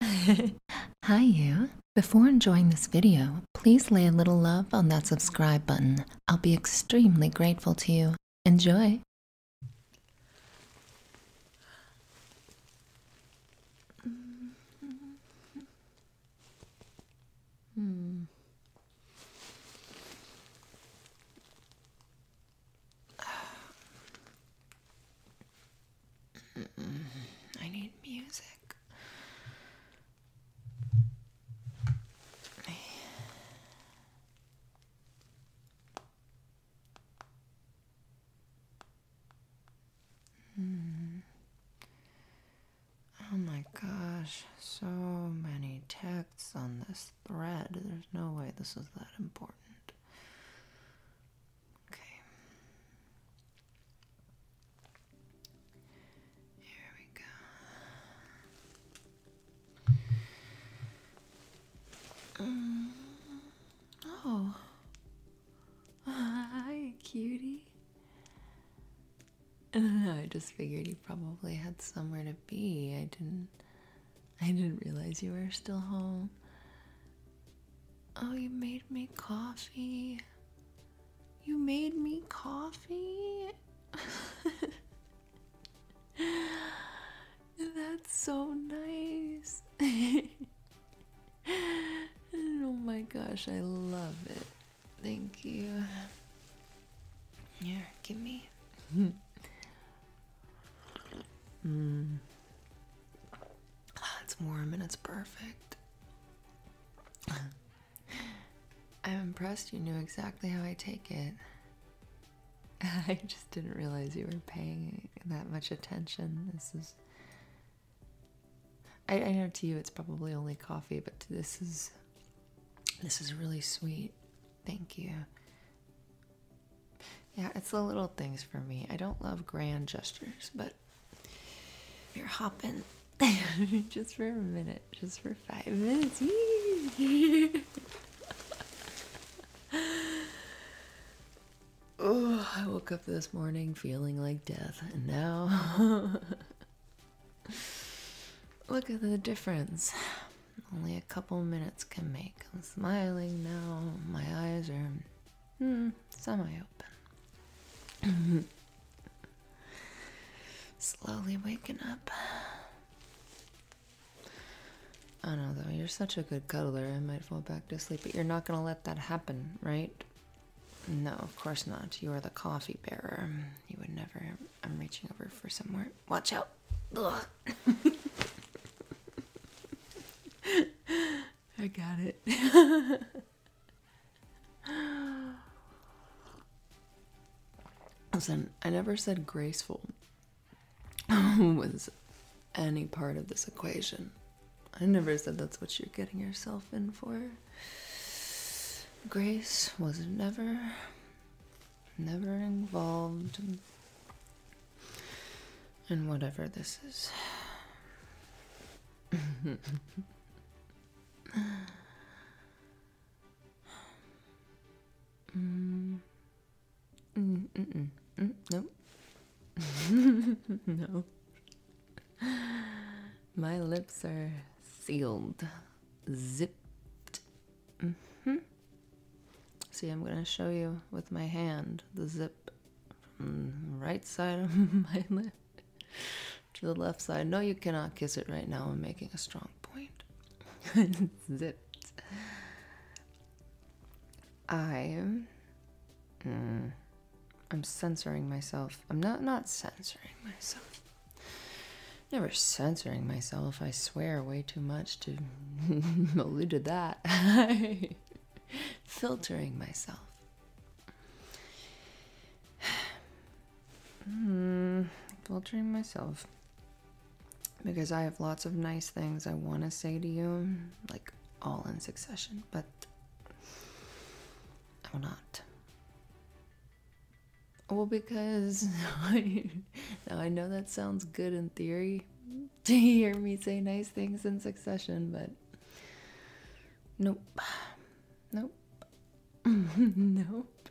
Hi you! Before enjoying this video, please lay a little love on that subscribe button. I'll be extremely grateful to you. Enjoy! I need music. Hmm. Oh my gosh, so many texts on this thread. There's no way this is that important. Okay. Here we go. Mm, oh. Hi, cutie. I just figured you probably had somewhere to be. I didn't I didn't realize you were still home. Oh, you made me coffee. You made me coffee. That's so nice. oh my gosh, I love it. Thank you. Here, give me. mm. it's warm and it's perfect. I'm impressed you knew exactly how I take it. I just didn't realize you were paying that much attention. This is. I know to you it's probably only coffee, but this is. This is really sweet. Thank you. Yeah, it's the little things for me. I don't love grand gestures, but you're hopping just for a minute, just for five minutes. oh, I woke up this morning feeling like death, and now look at the difference. Only a couple minutes can make. I'm smiling now. My eyes are Hmm, semi-open. Slowly waking up. I know though, you're such a good cuddler, I might fall back to sleep, but you're not gonna let that happen, right? No, of course not. You are the coffee bearer. You would never. I'm reaching over for somewhere. Watch out! Ugh. I got it. Listen, I never said graceful was any part of this equation. I never said that's what you're getting yourself in for. Grace was never, never involved in whatever this is mm. mm, mm, mm. no. My lips are sealed, zipped. Mm-hmm. See, I'm going to show you with my hand the zip right side of my lip to the left side. No, you cannot kiss it right now. I'm making a strong point. Zipped. I'm. Mm, I'm censoring myself. I'm not not censoring myself. Never censoring myself. I swear way too much to allude to that. Filtering myself hmm, filtering myself because I have lots of nice things I want to say to you, like all in succession, but I will not. Well, because now I know that sounds good in theory to hear me say nice things in succession, but Nope. Nope. nope.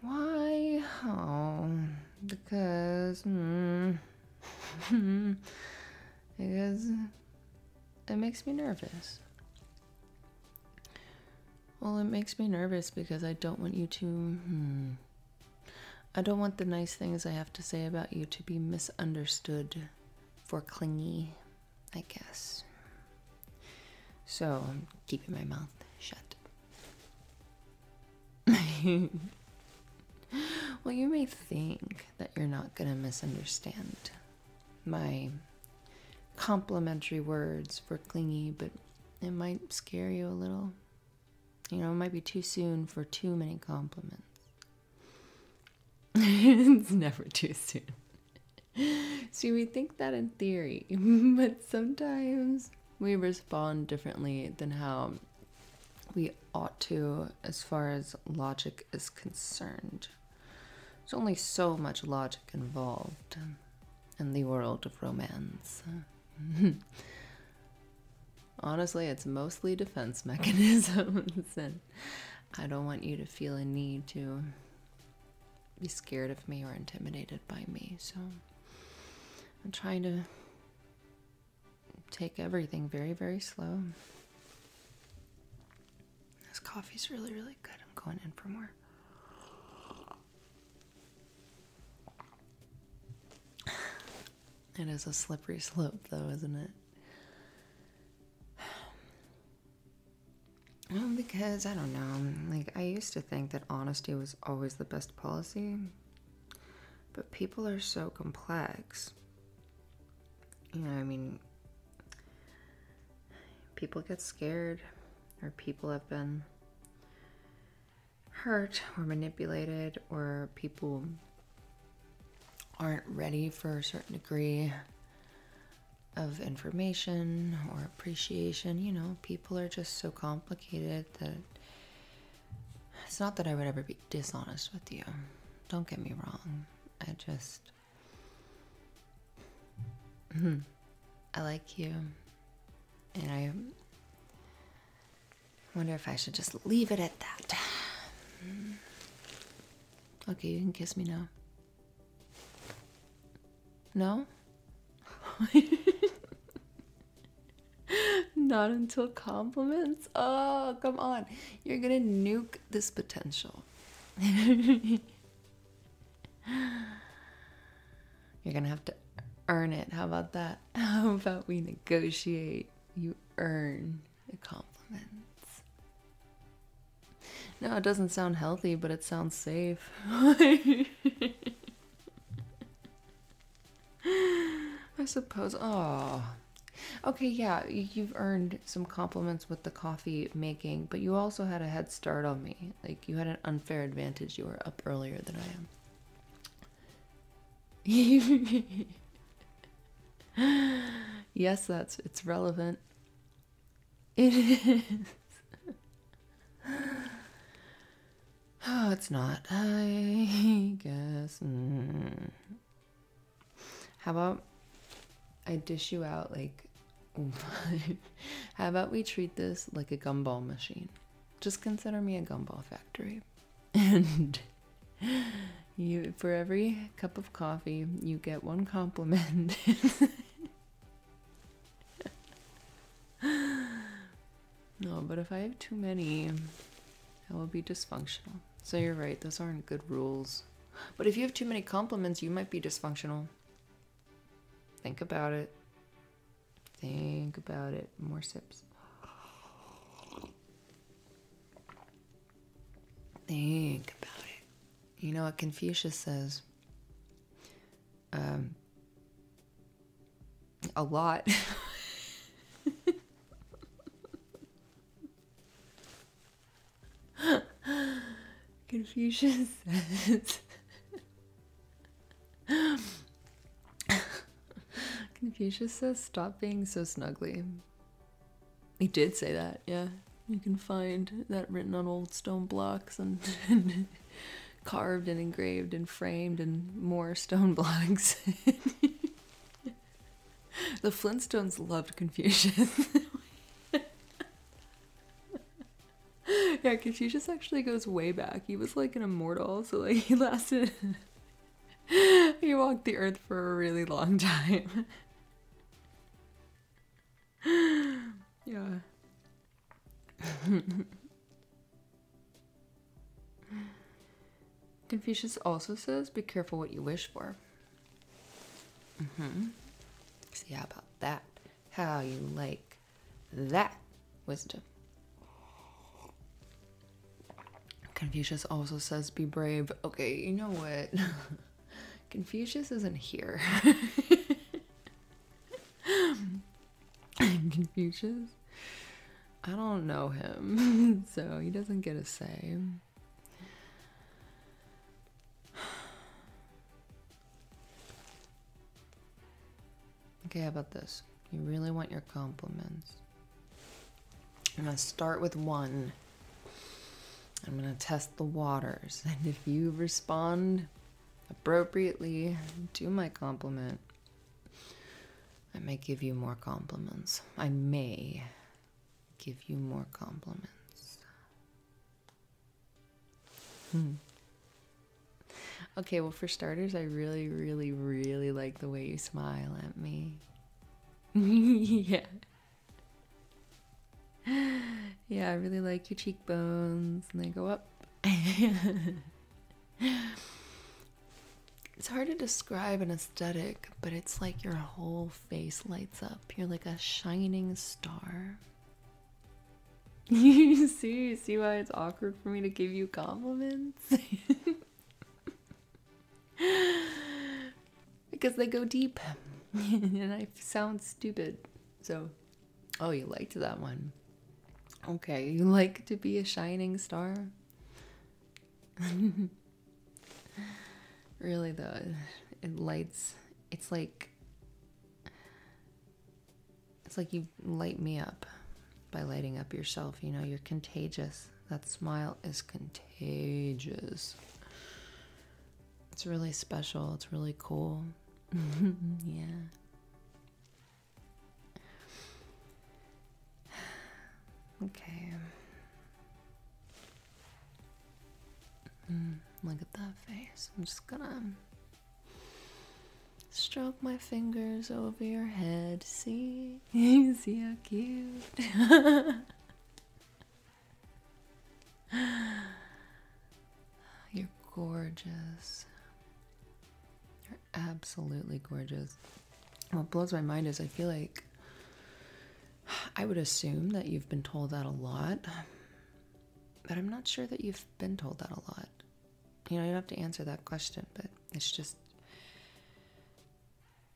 Why? Oh, because. Hmm. because it makes me nervous. Well, it makes me nervous because I don't want you to. Hmm. I don't want the nice things I have to say about you to be misunderstood for clingy, I guess. So I'm keeping my mouth shut. well, you may think that you're not going to misunderstand my complimentary words for clingy, but it might scare you a little. You know, it might be too soon for too many compliments. it's never too soon. See, we think that in theory, but sometimes we respond differently than how we ought to as far as logic is concerned. There's only so much logic involved in the world of romance. Honestly, it's mostly defense mechanisms and I don't want you to feel a need to be scared of me or intimidated by me. So I'm trying to take everything very, very slow. This coffee's really, really good. I'm going in for more. It is a slippery slope, though, isn't it? Well, because I don't know. Like, I used to think that honesty was always the best policy, but people are so complex. You know, I mean, people get scared, or people have been hurt, or manipulated, or people aren't ready for a certain degree of information or appreciation. You know, people are just so complicated that it's not that I would ever be dishonest with you. Don't get me wrong. I just. Hmm, I like you. And I wonder if I should just leave it at that. Okay, you can kiss me now. No? Not until compliments? Oh, come on. You're gonna nuke this potential. You're gonna have to earn it. How about that? How about we negotiate? You earn it compliments. No, it doesn't sound healthy, but it sounds safe. I suppose. Oh. Okay, yeah, you've earned some compliments with the coffee making, but you also had a head start on me. Like, you had an unfair advantage. You were up earlier than I am. yes, that's it's relevant. It is. oh, it's not. I guess. Mm. How about I dish you out like. How about we treat this like a gumball machine? Just consider me a gumball factory. And you for every cup of coffee you get one compliment. no, but if I have too many, I will be dysfunctional. So you're right, those aren't good rules. But if you have too many compliments, you might be dysfunctional. Think about it. Think about it. More sips. Think about it. You know what Confucius says? Um, a lot. Confucius says. Confucius says, stop being so snuggly. He did say that, yeah. You can find that written on old stone blocks and, carved and engraved and framed in more stone blocks. the Flintstones loved Confucius. yeah, Confucius actually goes way back. He was like an immortal, so like he lasted. he walked the earth for a really long time. yeah. Confucius also says, be careful what you wish for. Mm hmm. See, how about that? How you like that wisdom? Confucius also says, be brave. Okay, you know what? Confucius isn't here. Confucius? I don't know him, so he doesn't get a say. Okay, how about this? You really want your compliments. I'm gonna start with one I'm going to test the waters, and if you respond appropriately to my compliment, I may give you more compliments. I may give you more compliments. Hmm. Okay, well, for starters, I really, really, really like the way you smile at me. yeah. yeah, I really like your cheekbones, and they go up. it's hard to describe an aesthetic, but it's like your whole face lights up. You're like a shining star. You see, see why it's awkward for me to give you compliments? because they go deep and I sound stupid. So, oh, you liked that one. Okay, you like to be a shining star? really, though, it lights, it's like, it's like you light me up by lighting up yourself. You know, you're contagious. That smile is contagious. It's really special. It's really cool. yeah. Okay. Mm, look at that face. I'm just gonna stroke my fingers over your head. See? See how cute? You're gorgeous. You're absolutely gorgeous. What blows my mind is I feel like I would assume that you've been told that a lot, but I'm not sure that you've been told that a lot. You know, you don't have to answer that question, but it's just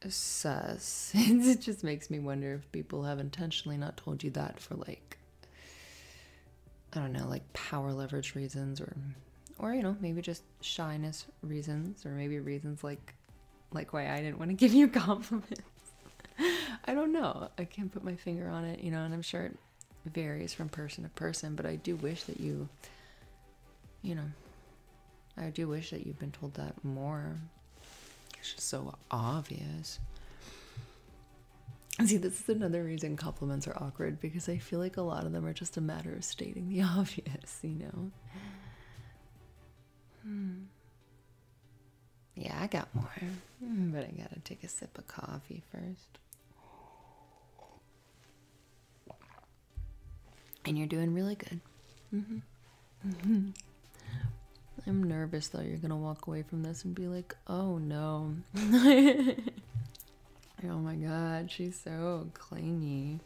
sus. it just makes me wonder people have intentionally not told you that for like I don't know, like power leverage reasons or or you know, maybe just shyness reasons or maybe reasons like like why I didn't want to give you compliments. I don't know. I can't put my finger on it, you know, and I'm sure it varies from person to person, but I do wish that you you know, I do wish that you've been told that more it's just so obvious. See, this is another reason compliments are awkward because I feel like a lot of them are just a matter of stating the obvious, you know? Hmm. Yeah, I got more, hmm, but I gotta take a sip of coffee first. And you're doing really good. Mm-hmm. Mm-hmm. I'm nervous though. You're gonna walk away from this and be like, oh no. oh my god, she's so clingy.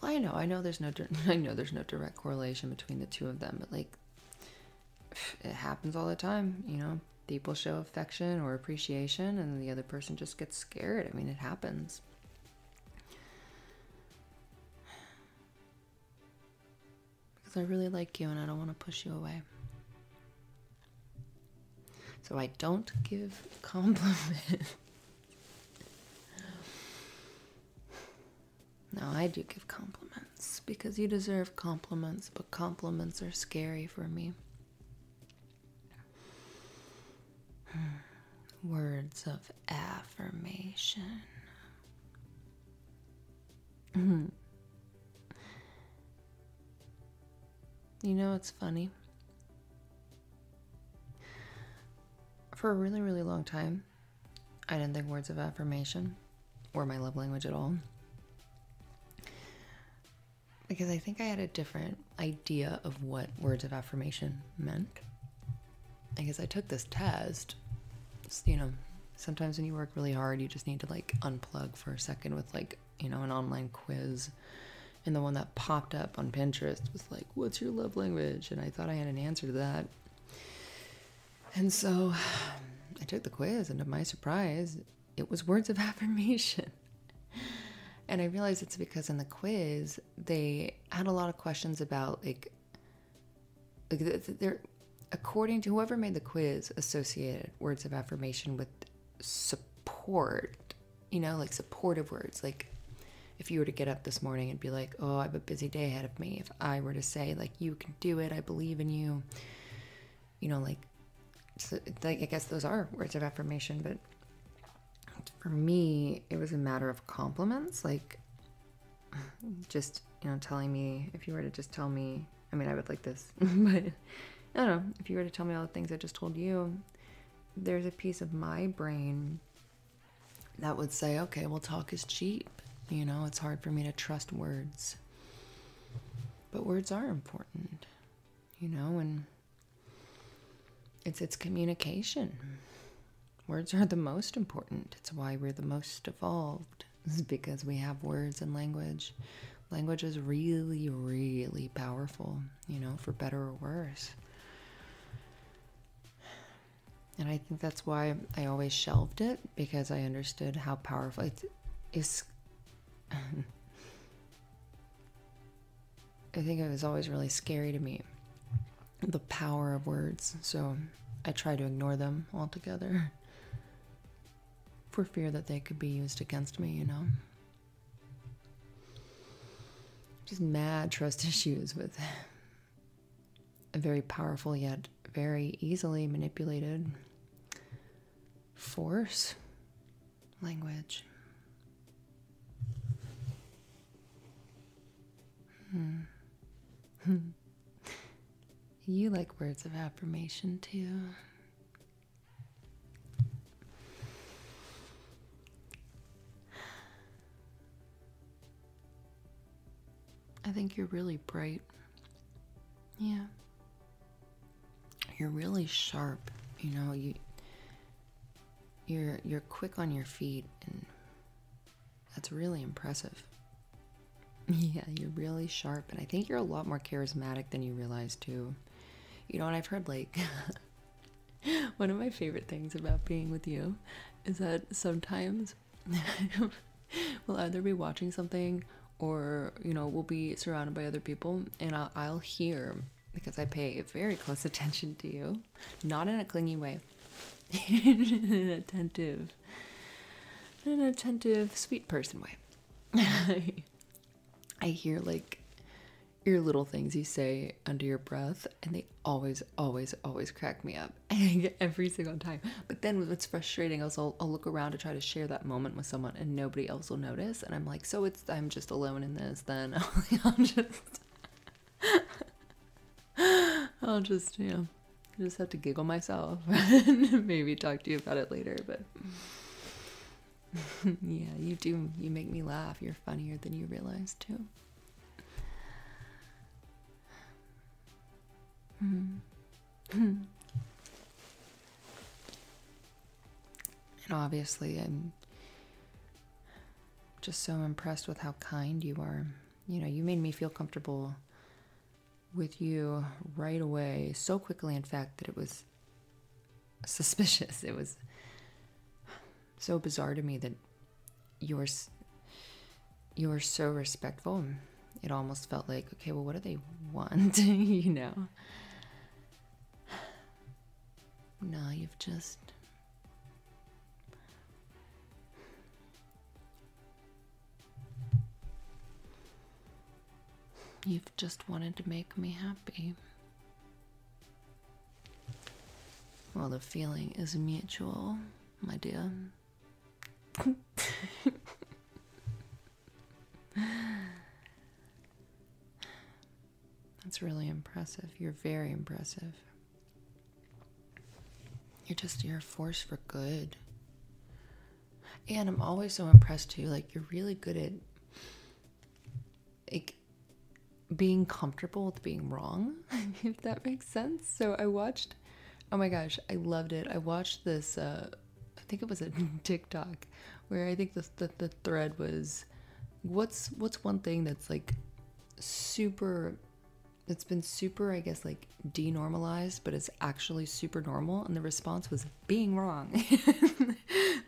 Well, I know, I know there's no, I know there's no direct correlation between the two of them, but like, it happens all the time. You know, people show affection or appreciation, and the other person just gets scared. I mean, it happens because I really like you and I don't want to push you away. So I don't give compliments. no, I do give compliments because you deserve compliments, but compliments are scary for me. Words of affirmation. you know, it's funny. For a really, really long time, I didn't think words of affirmation were my love language at all. Because I think I had a different idea of what words of affirmation meant. I guess I took this test. you know, sometimes when you work really hard, you just need to like unplug for a second with like, you know, an online quiz. And the one that popped up on Pinterest was like, What's your love language? And I thought I had an answer to that. And so I took the quiz, and to my surprise, it was words of affirmation. And I realized it's because in the quiz, they had a lot of questions about like according to whoever made the quiz associated words of affirmation with support you know like supportive words like if you were to get up this morning and be like oh i have a busy day ahead of me if i were to say like you can do it i believe in you you know like like i guess those are words of affirmation but for me it was a matter of compliments like just you know telling me if you were to just tell me i mean i would like this but i don't know if you were to tell me all the things i just told you there's a piece of my brain that would say okay well talk is cheap you know it's hard for me to trust words but words are important you know and it's it's communication words are the most important it's why we're the most evolved because we have words and language. Language is really, really powerful, you know, for better or worse. And I think that's why I always shelved it because I understood how powerful it is. I think it was always really scary to me the power of words, so I try to ignore them altogether for fear that they could be used against me, you know. Just mad trust issues with a very powerful yet very easily manipulated force language. Hmm. You like words of affirmation too. I think you're really bright. Yeah. You're really sharp, you know, you you're you're quick on your feet and that's really impressive. Yeah, you're really sharp, and I think you're a lot more charismatic than you realize, too. You know what I've heard, like, one of my favorite things about being with you is that sometimes we'll either be watching something or, you know, we'll be surrounded by other people, and I'll, hear because I pay very close attention to you, not in a clingy way, in attentive an attentive, sweet person way. I hear like your little things you say under your breath, and they always, always, always crack me up every single time. But then what's frustrating is I'll, look around to try to share that moment with someone, and nobody else will notice. And I'm like, so it's I'm just alone in this. Then I'll just. I'll just, you know, I just have to giggle myself and maybe talk to you about it later, but yeah, you do. You make me laugh. You're funnier than you realize, too. Hmm. and obviously, I'm just so impressed with how kind you are. You know, you made me feel comfortable with you right away, so quickly, in fact, that it was suspicious. It was so bizarre to me that you were you're so respectful. It almost felt like, okay, well, what do they want? you know. No, you've just You've just wanted to make me happy. Well, the feeling is mutual, my dear. That's really impressive. You're very impressive. You're just, you're a force for good. And I'm always so impressed too. Like you're really good at like being comfortable with being wrong, if that makes sense. So I watched oh my gosh, I loved it. I watched this uh, I think it was a TikTok where I think the, the the thread was what's what's one thing that's like super it's been super I guess like denormalized, but it's actually super normal. And the response was being wrong.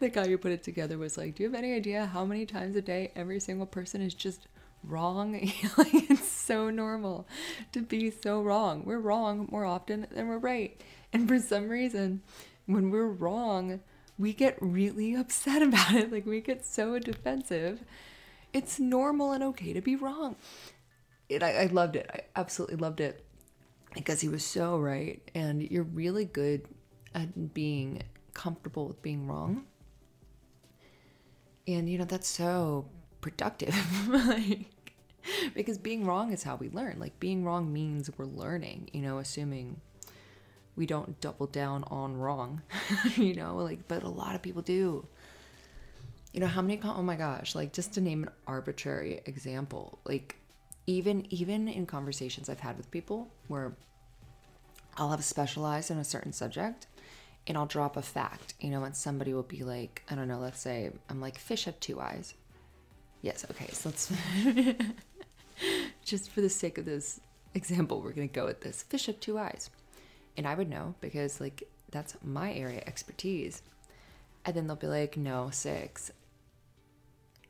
the guy who put it together was like, Do you have any idea how many times a day every single person is just wrong? like, it's so normal to be so wrong. We're wrong more often than we're right. And for some reason, when we're wrong, we get really upset about it. Like, we get so defensive. It's normal and okay to be wrong and I, loved it. I absolutely loved it because he was so right. And you're really good at being comfortable with being wrong. And you know, that's so productive. like, because being wrong is how we learn. Like, being wrong means we're learning, you know, assuming we don't double down on wrong, you know, like, but a lot of people do. You know, how many, oh my gosh, like, just to name arbitrary example. Like even even in conversations I've had with people where I'll have specialized in a certain subject and I'll drop a fact, you know, and somebody will be like, I don't know, let's say I'm like fish have two eyes. Yes, okay, so let's just for the sake of this example, we're gonna go with this. Fish have two eyes. And I would know because like that's my area expertise. And then they'll be like, no, six.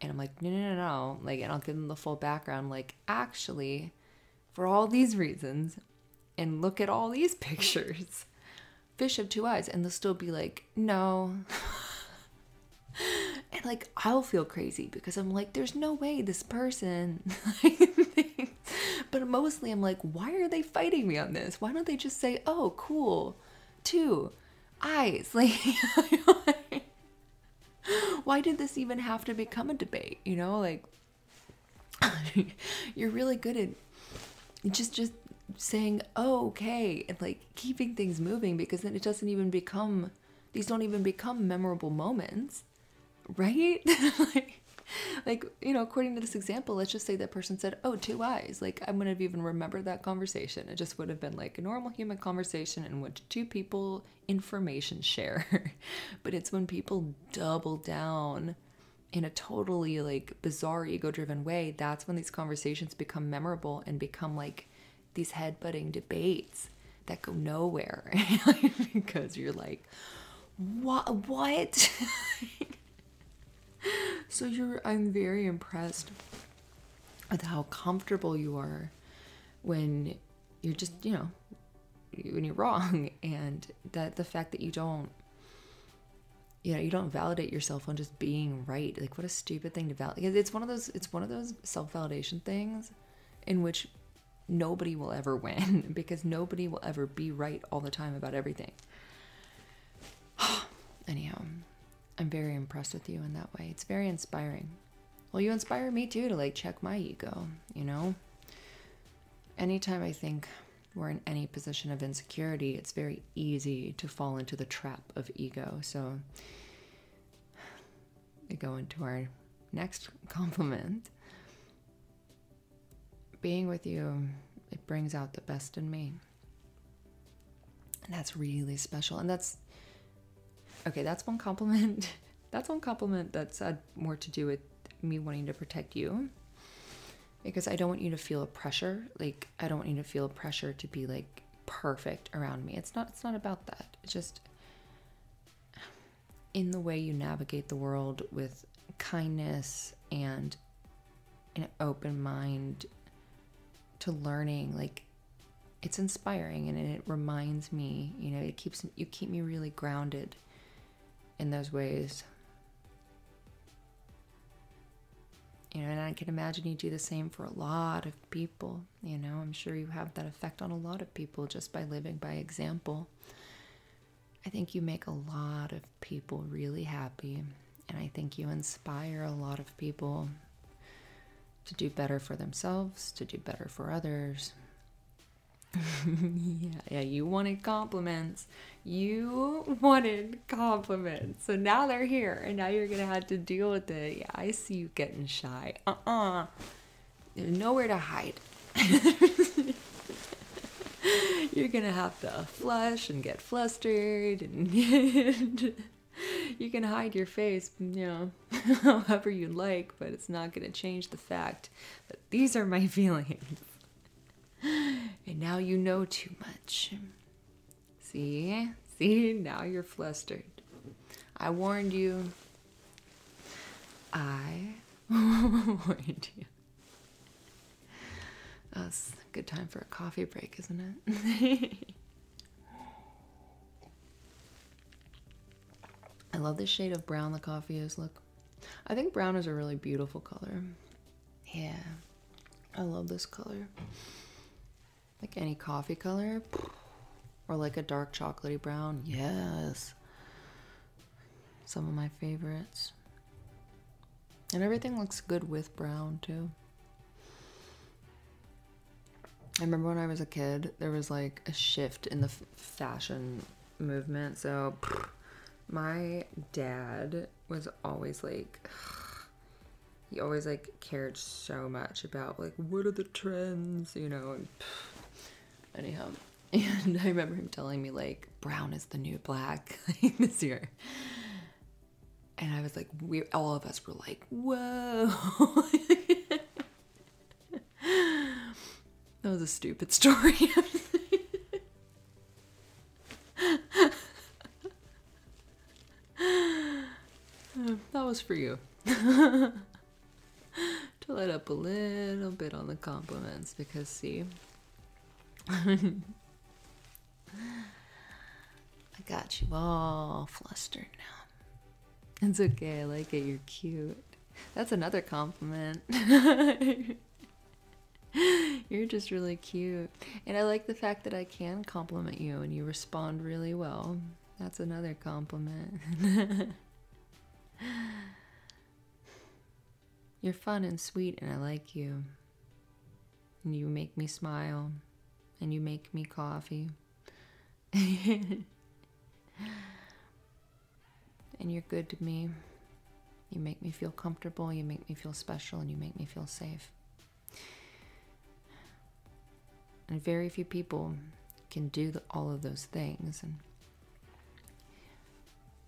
And I'm like, no, no, no, no. Like, and I'll give them the full background. Like, actually, for all these reasons, and look at all these pictures, fish have two eyes. And they'll still be like, no. and like, I'll feel crazy because I'm like, there's no way this person. but mostly I'm like, why are they fighting me on this? Why don't they just say, oh, cool, two eyes. Like, why did this even have to become a debate? You know, like, you're really good at just, just saying oh, okay and like keeping things moving because then it doesn't even become these don't even become memorable moments right like like you know according to this example let's say that person said, Oh, two eyes. Like, I wouldn't have even remembered that conversation. It just would have been like a normal human conversation in which two people information share. but it's when people double down in a totally like bizarre ego driven way, that's when these conversations become memorable and become like these headbutting debates that go nowhere because you're like, what? What? so you're i'm very impressed with how comfortable you are when you're just you know when you're wrong and that the fact that you don't you know you don't validate yourself on just being right like what a stupid thing to value. it's one of those it's one of those self-validation things in which nobody will ever win because nobody will ever be right all the time about everything Anyhow, I'm very impressed with you in that way. It's very inspiring. Well, you inspire me too to like check my ego, you know? Anytime I think we're in any position of insecurity, it's very easy to fall into the trap of ego. So, we go into our next compliment. Being with you, it brings out the best in me. And that's really special. And that's okay, that's one compliment. that's one compliment that's had more to do with me wanting to protect you. Because I don't want you to feel a pressure. Like I don't want you to feel a pressure to be like perfect around me. It's not it's not about that. It's just in the way you navigate the world with kindness and an open mind to learning like it's inspiring and it reminds me you know it keeps you keep me really grounded in those ways you know and i can imagine you do the same for a lot of people you know i'm sure you have that effect on a lot of people just by living by example i think you make a lot of people really happy, and I think you inspire a lot of people to do better for themselves, to do better for others. yeah, yeah, you wanted compliments. You wanted compliments. So now they're here and now you're going to have to deal with it. Yeah, I see you getting shy. Uh-uh. nowhere to hide. you're going to have to flush and get flustered and you can hide your face, you know, however you like, but it's not going to change the fact that these are my feelings. and now you know too much. See? See? Now you're flustered. I warned you. I warned you. Oh, a good time for a coffee break, isn't it? I love this shade of brown the coffee is. Look, I think brown is a really beautiful color. Yeah, I love this color. Like any coffee color, or like a dark chocolatey brown. Yes, some of my favorites. And everything looks good with brown, too. I remember when I was a kid, there was like a shift in the fashion movement. So my dad was always like, he always like cared so much about like, what are the trends, you know? And anyhow, and I remember him telling me like, brown is the new black this year. And I was like, we all of us were like, whoa. that was a stupid story. that was for you. to light up a little bit on the compliments because see I got you all flustered now. It's okay, I like it. You're cute. That's another compliment. You're just really cute. And I like the fact that I can compliment you and you respond really well. That's another compliment. You're fun and sweet, and I like you and you make me smile and you make me coffee and you're good to me you make me feel comfortable you make me feel special and you make me feel safe and very few people can do all of those things and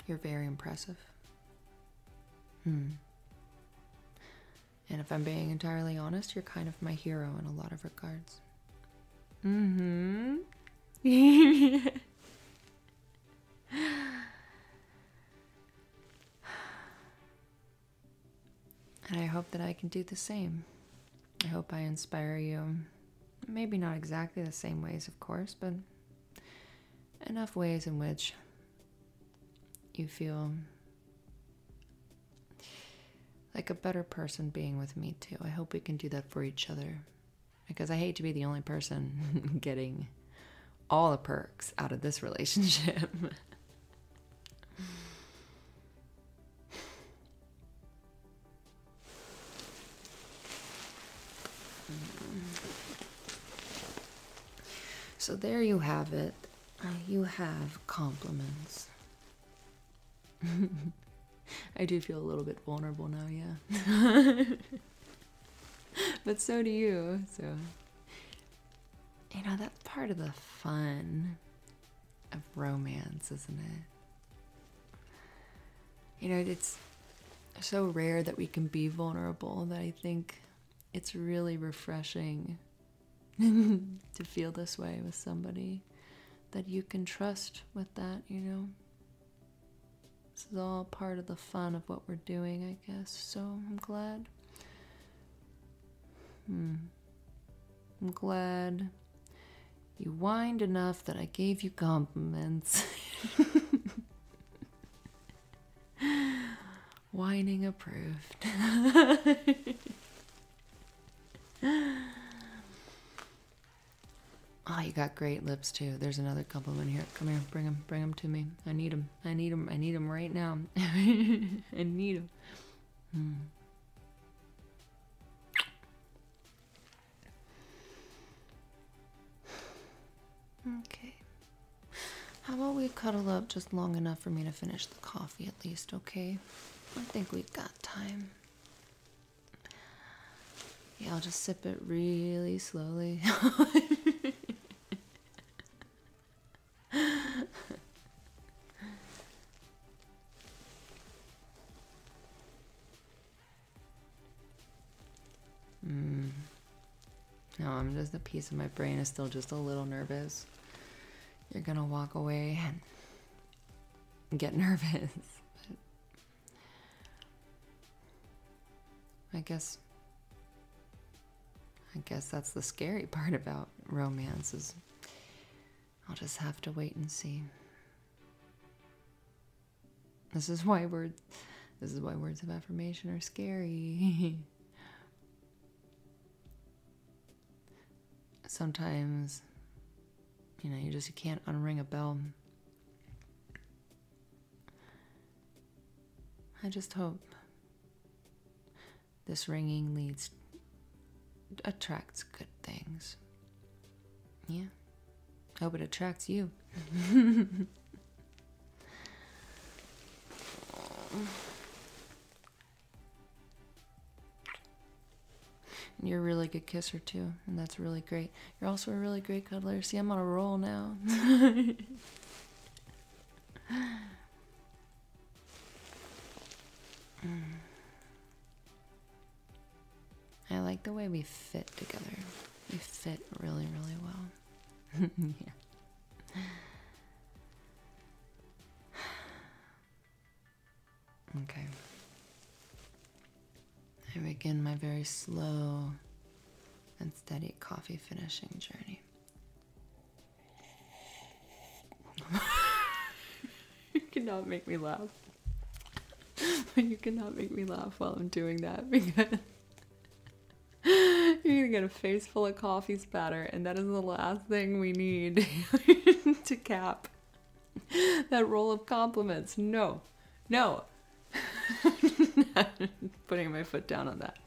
you're very impressive hmm and if I'm being entirely honest, you're kind of my hero in a lot of regards. Mm hmm. and I hope that I can do the same. I hope I inspire you. Maybe not exactly the same ways, of course, but enough ways in which you feel like a better person being with me too. I hope we can do that for each other because I hate to be the only person getting all the perks out of this relationship. So there you have it. Uh, you have compliments. I do feel a little bit vulnerable now, yeah. but so do you, so. You know, that's part of the fun of romance, isn't it? You know, it's so rare that we can be vulnerable that I think it's really refreshing to feel this way with somebody that you can trust with that, you know? This is all part of the fun of what we're doing, I guess. So I'm glad. Hmm. I'm glad you whined enough that I gave you compliments. Whining approved. oh, you got great lips too. There's another compliment here. Come here, bring them, bring them to me. I need them. I need them. I need them right now. I need them. Hmm. Okay. How about we cuddle up just long enough for me to finish the coffee at least, okay? I think we've got time. Yeah, I'll just sip it really slowly. mm. No, I'm just a piece of my brain is still just a little nervous you're gonna walk away and get nervous. I guess I guess that's the scary part about romance is I'll just have to wait and see. This is why words this is why words of affirmation are scary. sometimes you know you just you can't unring a bell i just hope this ringing leads attracts good things yeah hope it attracts you you're a really good kisser too, and that's really great. You're also a really great cuddler. See, I'm on a roll now. I like the way we fit together. We fit really, really well. yeah. Okay. I begin my very slow and steady coffee finishing journey. you cannot make me laugh. you cannot make me laugh while I'm doing that because you're gonna get a face full of coffee spatter, and that is the last thing we need to cap that roll of compliments. No, no. Putting my foot down on that.